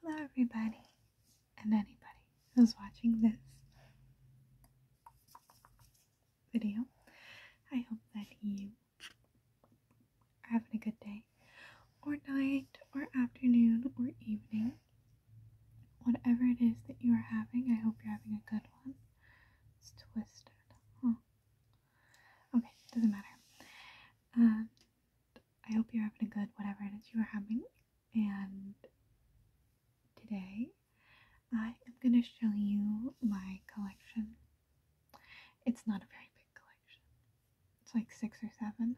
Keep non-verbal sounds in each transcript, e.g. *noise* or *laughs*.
Hello, everybody, and anybody who's watching this video. I hope that you are having a good day, or night, or afternoon, or evening. Whatever it is that you are having, I hope you're having a good one. It's twisted, huh? Okay, doesn't matter. Um, I hope you're having a good whatever it is you are having. And today I am going to show you my collection. It's not a very big collection, it's like six or seven,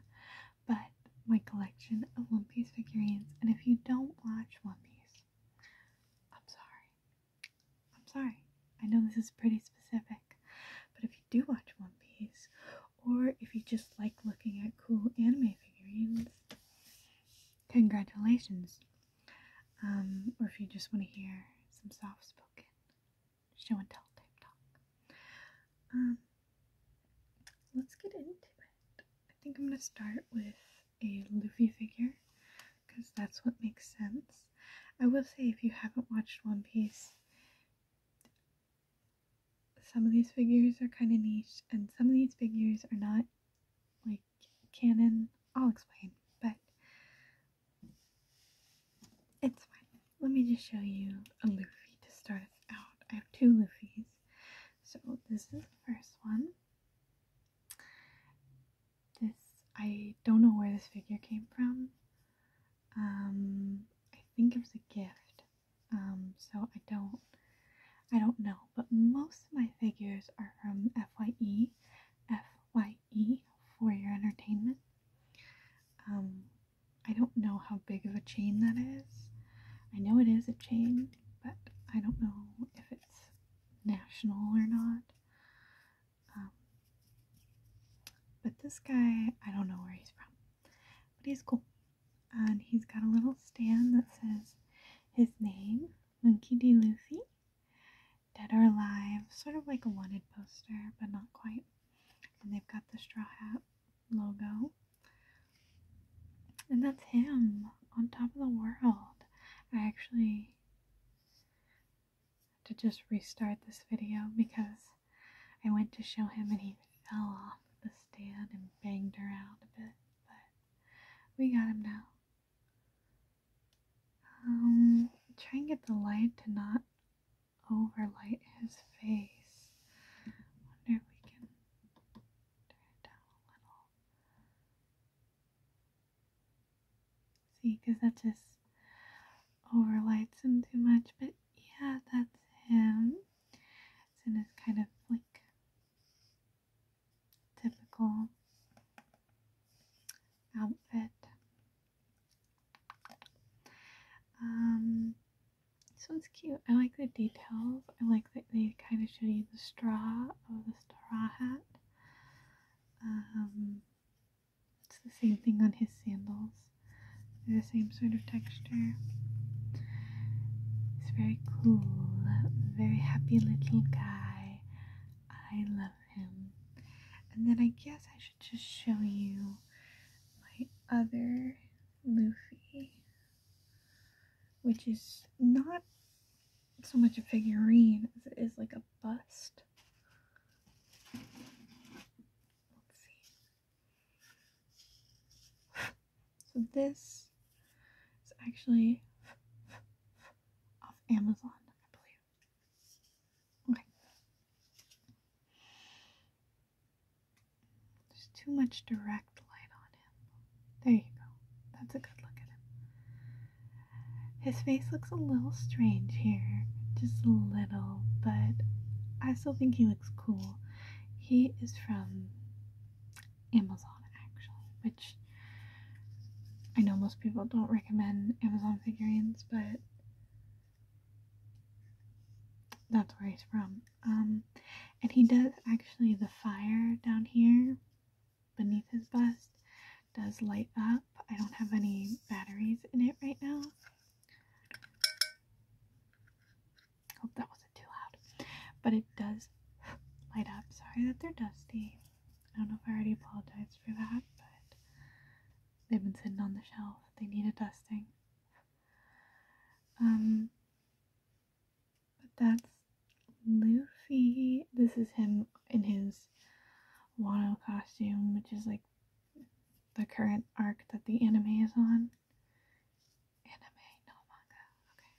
but my collection of One Piece figurines. And if you don't watch One Piece, I'm sorry. I'm sorry. I know this is pretty specific, but if you do watch One Piece, or if you just like looking at cool anime figurines, congratulations. Um, or if you just want to hear some soft spoken show and tell type talk. Um, let's get into it. I think I'm going to start with a Luffy figure because that's what makes sense. I will say, if you haven't watched One Piece, some of these figures are kind of niche and some of these figures are not like canon. I'll explain, but it's fine. Let me just show you a Luffy to start us out. I have two Luffys. So this is the first one. This I don't know where this figure came from. Um, I think it was a gift. Um, so I don't, I don't know. But most of my figures are from FYE, FYE for your entertainment. Um, I don't know how big of a chain that is. I know it is a chain, but I don't know if it's national or not. Um, but this guy, I don't know where he's from, but he's cool. And he's got a little stand that says his name, Monkey D. Lucy, Dead or Alive, sort of like a wanted poster, but not quite. And they've got the Straw Hat logo. And that's him on top of the world. I actually to just restart this video because I went to show him and he fell off the stand and banged around a bit, but we got him now. Um, try and get the light to not overlight his face. Wonder if we can turn it down a little. See, because that just overlights him too much, but yeah, that's him. It's in his kind of like typical outfit. Um, this one's cute. I like the details. I like that they kind of show you the straw of oh, the straw hat. Um, it's the same thing on his sandals. They're the same sort of texture. He's very cool, very happy little guy. I love him. And then I guess I should just show you my other Luffy, which is not so much a figurine it is like a bust. Let's see. So this is actually off Amazon, I believe. Okay. There's too much direct light on him. There you go. That's a good look at him. His face looks a little strange here. Just a little, but I still think he looks cool. He is from Amazon actually, which I know most people don't recommend Amazon figurines, but that's where he's from. Um, and he does actually the fire down here beneath his bust does light up I don't have any batteries in it right now. Hope that wasn't too loud. But it does *gasps* light up. Sorry that they're dusty. I don't know if I already apologized for that, but they've been sitting on the shelf. They need a dusting. Um but that's Luffy. This is him in his Wano costume, which is like the current arc that the anime is on. Anime, no manga. Okay.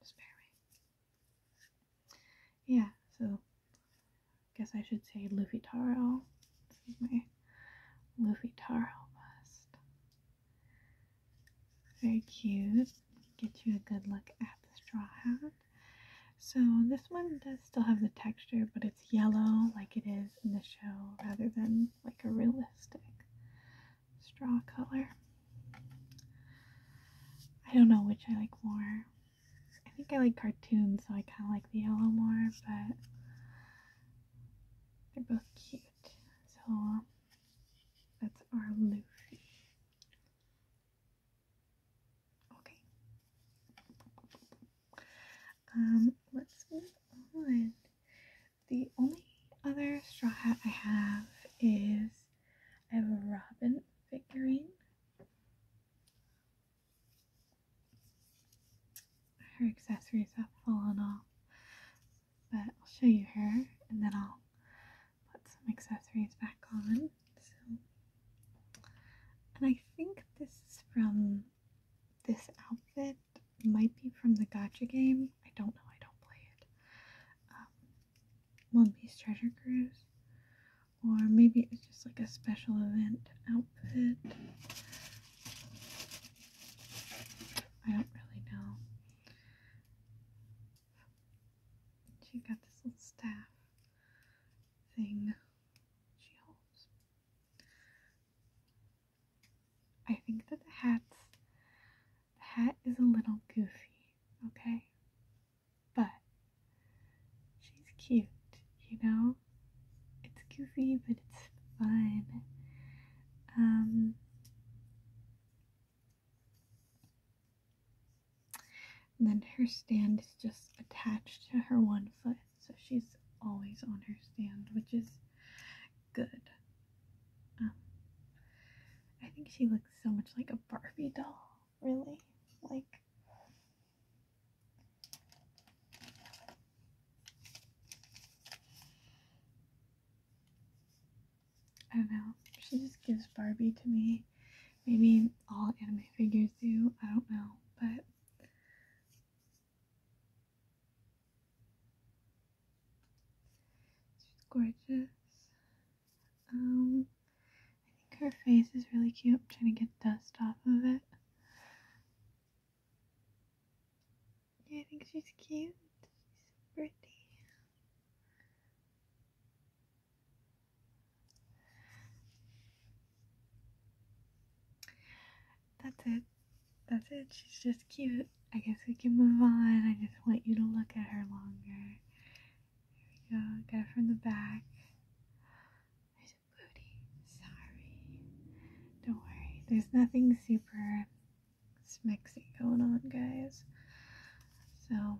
Just me. Yeah, so I guess I should say Luffy Taro. This is my Luffy Taro bust. Very cute. Get you a good look at the straw hat. So this one does still have the texture, but it's yellow like it is in the show rather than like a realistic straw color. I don't know which I like more. I think I like cartoons, so I kind of like the yellow more, but they're both cute. So that's our Luffy. Okay. Um, let's move on. The only other straw hat I have is I have a robin figurine. Her accessories have fallen off, but I'll show you her and then I'll put some accessories back on. So and I think this is from this outfit. might be from the Gotcha game. I don't know. I don't play it. Um, One Piece Treasure Cruise, or maybe it's just like a special event outfit. I don't really know. She's got this little staff thing she holds. I think that the hat's the hat is a little goofy, okay? But she's cute, you know? It's goofy but it's fun. and um, then her stand is just attached to her one foot so she's always on her stand, which is good. Um, I think she looks so much like a Barbie doll, really. Like, I don't know. She just gives Barbie to me. Maybe all anime figures do. I don't know. But She's gorgeous. Um, I think her face is really cute. I'm trying to get dust off of it. Yeah, I think she's cute. She's pretty. That's it. That's it. She's just cute. I guess we can move on. I just want you to look at her longer. Here we go. Got it from the back. There's a booty. Sorry. Don't worry. There's nothing super smexy going on, guys. So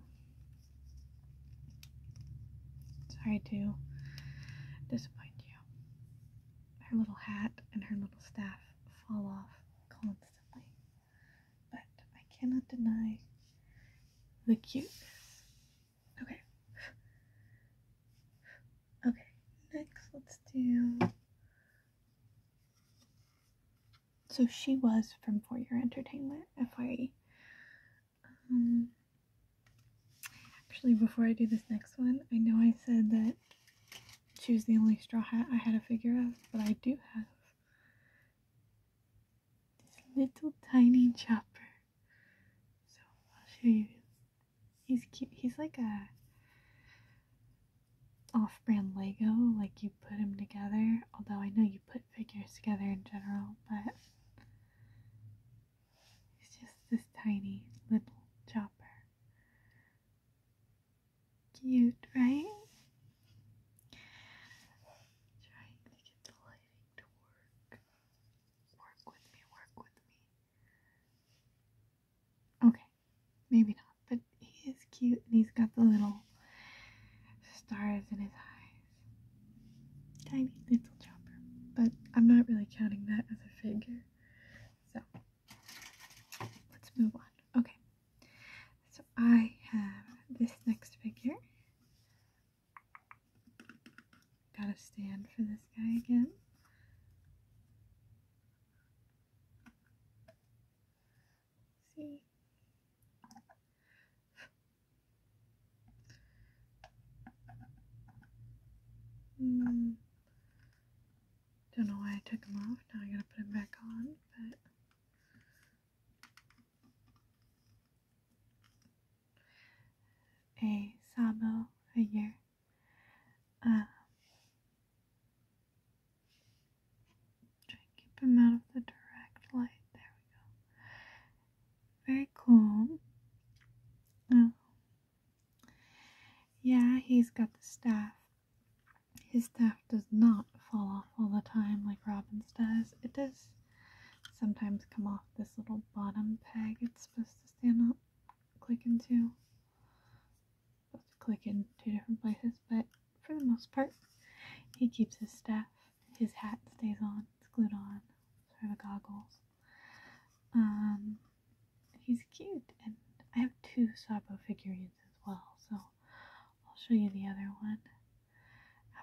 Sorry to disappoint you. Her little hat and her little staff fall off constantly, but I cannot deny the cuteness. Okay. Okay, next let's do. So she was from For Your Entertainment, FYE. Um, actually, before I do this next one, I know I said that she was the only straw hat I had to figure out, but I do have this little tiny chopper. So I'll show you. He's cute. He's like a off-brand Lego, like you put them together. Although I know you put figures together in general, but it's just this tiny little chopper. Cute, right? trying to get to work. Work with me, work with me. Okay, maybe not, but he is cute and he's got the little stars in his eyes. Tiny little chopper. But I'm not really counting that as a figure. So let's move on. Okay. So I have this next figure. Gotta stand for this guy again. See? Mm. Don't know why I took them off. Now I gotta put them back on, A sawbill figure. Um, try to keep him out of the direct light. There we go very cool. Oh. Yeah, he's got the staff. His staff does not fall off all the time like Robin's does. It does sometimes come off this little bottom peg it's supposed to stand up, click into. Supposed to click in two different places, but for the most part, he keeps his staff his hat stays on, it's glued on, sort of goggles. Um, he's cute, and I have two Sabo figurines as well, so I'll show you the other one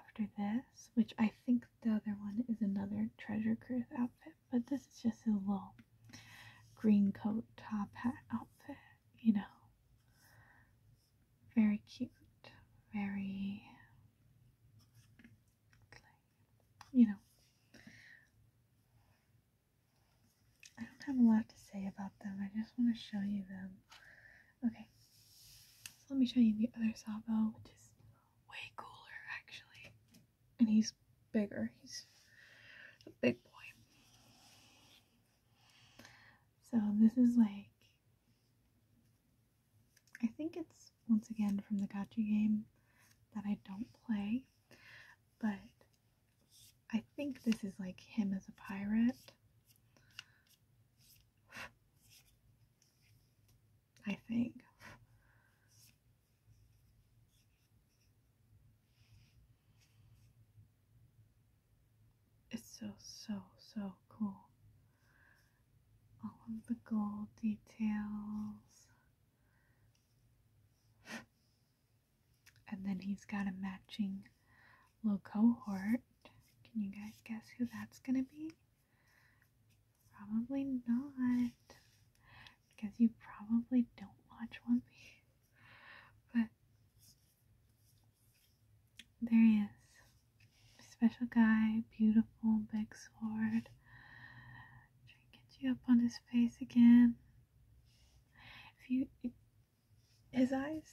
after this, which I think the other one is another Treasure Cruise outfit, but this is just a little green coat top hat outfit, you know. Very cute, very you know, I don't have a lot to say about them. I just want to show you them. Okay, so let me show you the other Sabo, which is way cooler actually, and he's bigger. He's a big boy. So this is like I think it's once again from the Gacha game that I don't play, but I think this is like him as a pirate. I think. It's so, so, so cool all of the gold details. and then he's got a matching little cohort. Can you guys guess who that's gonna be? Probably not. Because you probably don't watch One Piece. But there he is special guy, beautiful big sword. Try to get you up on his face again. If you, his eyes,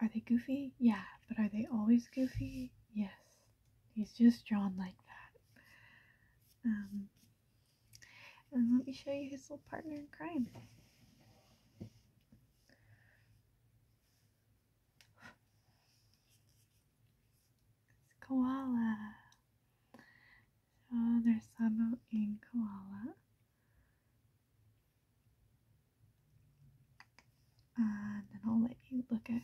are they goofy? Yeah, but are they always goofy? Yes, he's just drawn like that. Um, and let me show you his little partner in crime koala. So oh, there's Sabo in koala. And then I'll let you look at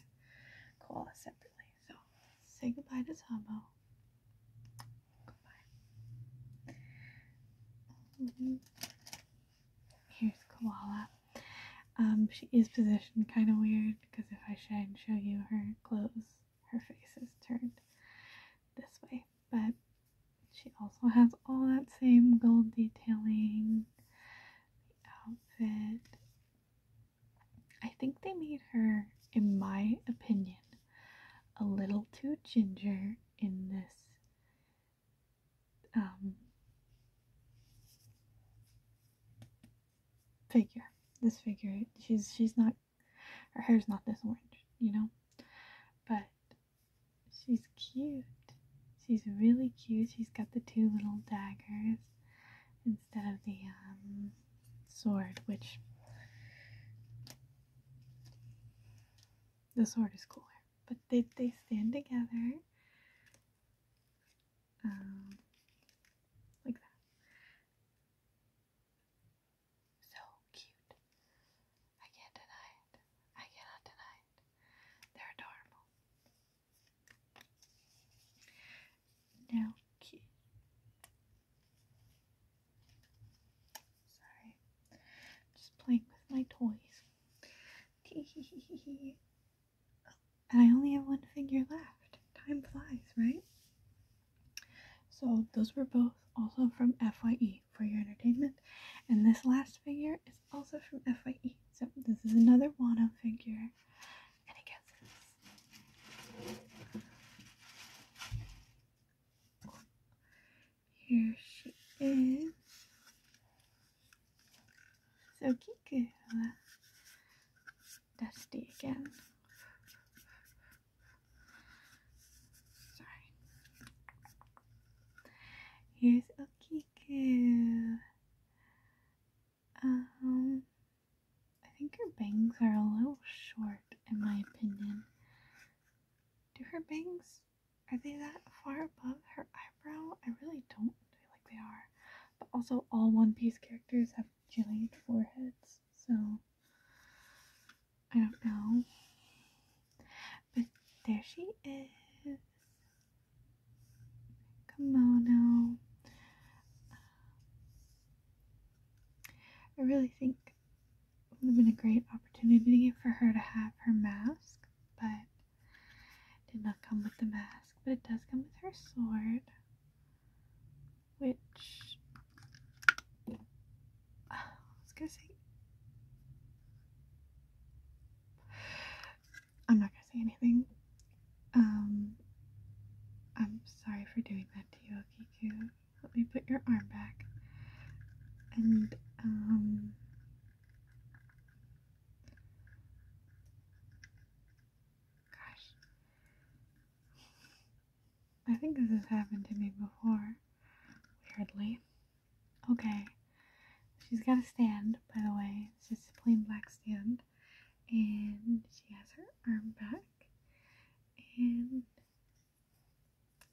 koala separately. So say goodbye to Sabo. Goodbye. Mm-hmm. Here's koala. Um, she is positioned kind of weird because if I try and show you her clothes, her face is turned this way. But she also has all that same gold detailing, outfit. I think they made her, in my opinion, a little too ginger in this um, figure. This figure, she's she's not her hair's not this orange, you know, but she's cute. She's really cute. She's got the two little daggers instead of the um, sword, which the sword is cooler. But they, they stand together um, like that. So cute. I can't deny it. I cannot deny it. They're adorable. Now, Sorry. just playing with my toys. *laughs* and I only have one figure left. Time flies, right? So those were both also from FYE for your entertainment. And this last figure is also from FYE. So this is another Wano figure. And it gets Here she is. So Kiku, uh, Dusty again. Sorry. Here's Okiku. Um, I think her bangs are a little short, in my opinion. Do her bangs, are they that far above her eyebrow? I really don't feel like they are. But also, all One Piece characters have giant foreheads, so I don't know. But there she is. Kimono. I really think it would have been a great opportunity for her to have her mask, but did not come with the mask, but it does come with her sword, which *sighs* I I'm not gonna say anything. Um, I'm sorry for doing that to you, Okiku. Let me put your arm back. And, um, Gosh. I think this has happened to me before. Weirdly. Okay. She's got a stand, by the way. It's just a plain black stand. And she has her arm back. And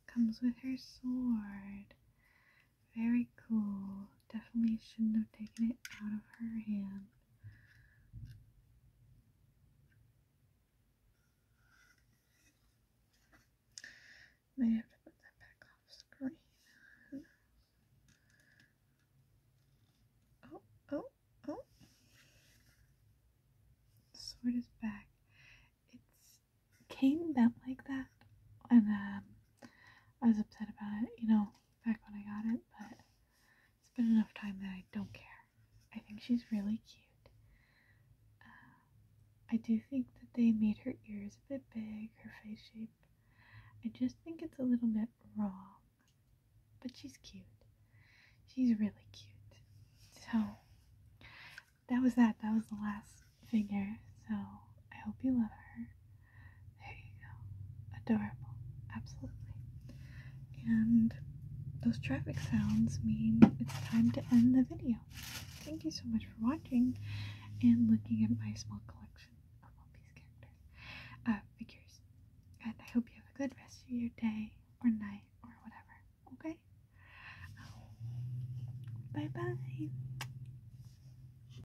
comes with her sword. Very cool. Definitely shouldn't have taken it out of her hand. May have to put that back off screen. Oh, oh, oh. sword is back. It's came bent like that, and um, I was upset about it. You know, back when I got it, but it's been enough time that I don't care. I think she's really cute. Uh, I do think that they made her ears a bit big, her face shape. I just think it's a little bit wrong, but she's cute. She's really cute. So, that was that. That was the last figure. So, I hope you love her. There you go. Adorable. Absolutely. And those traffic sounds mean it's time to end the video. Thank you so much for watching and looking at my small collection of One characters, uh, figures. And I hope you have a good rest of your day or night or whatever. Okay? bye bye.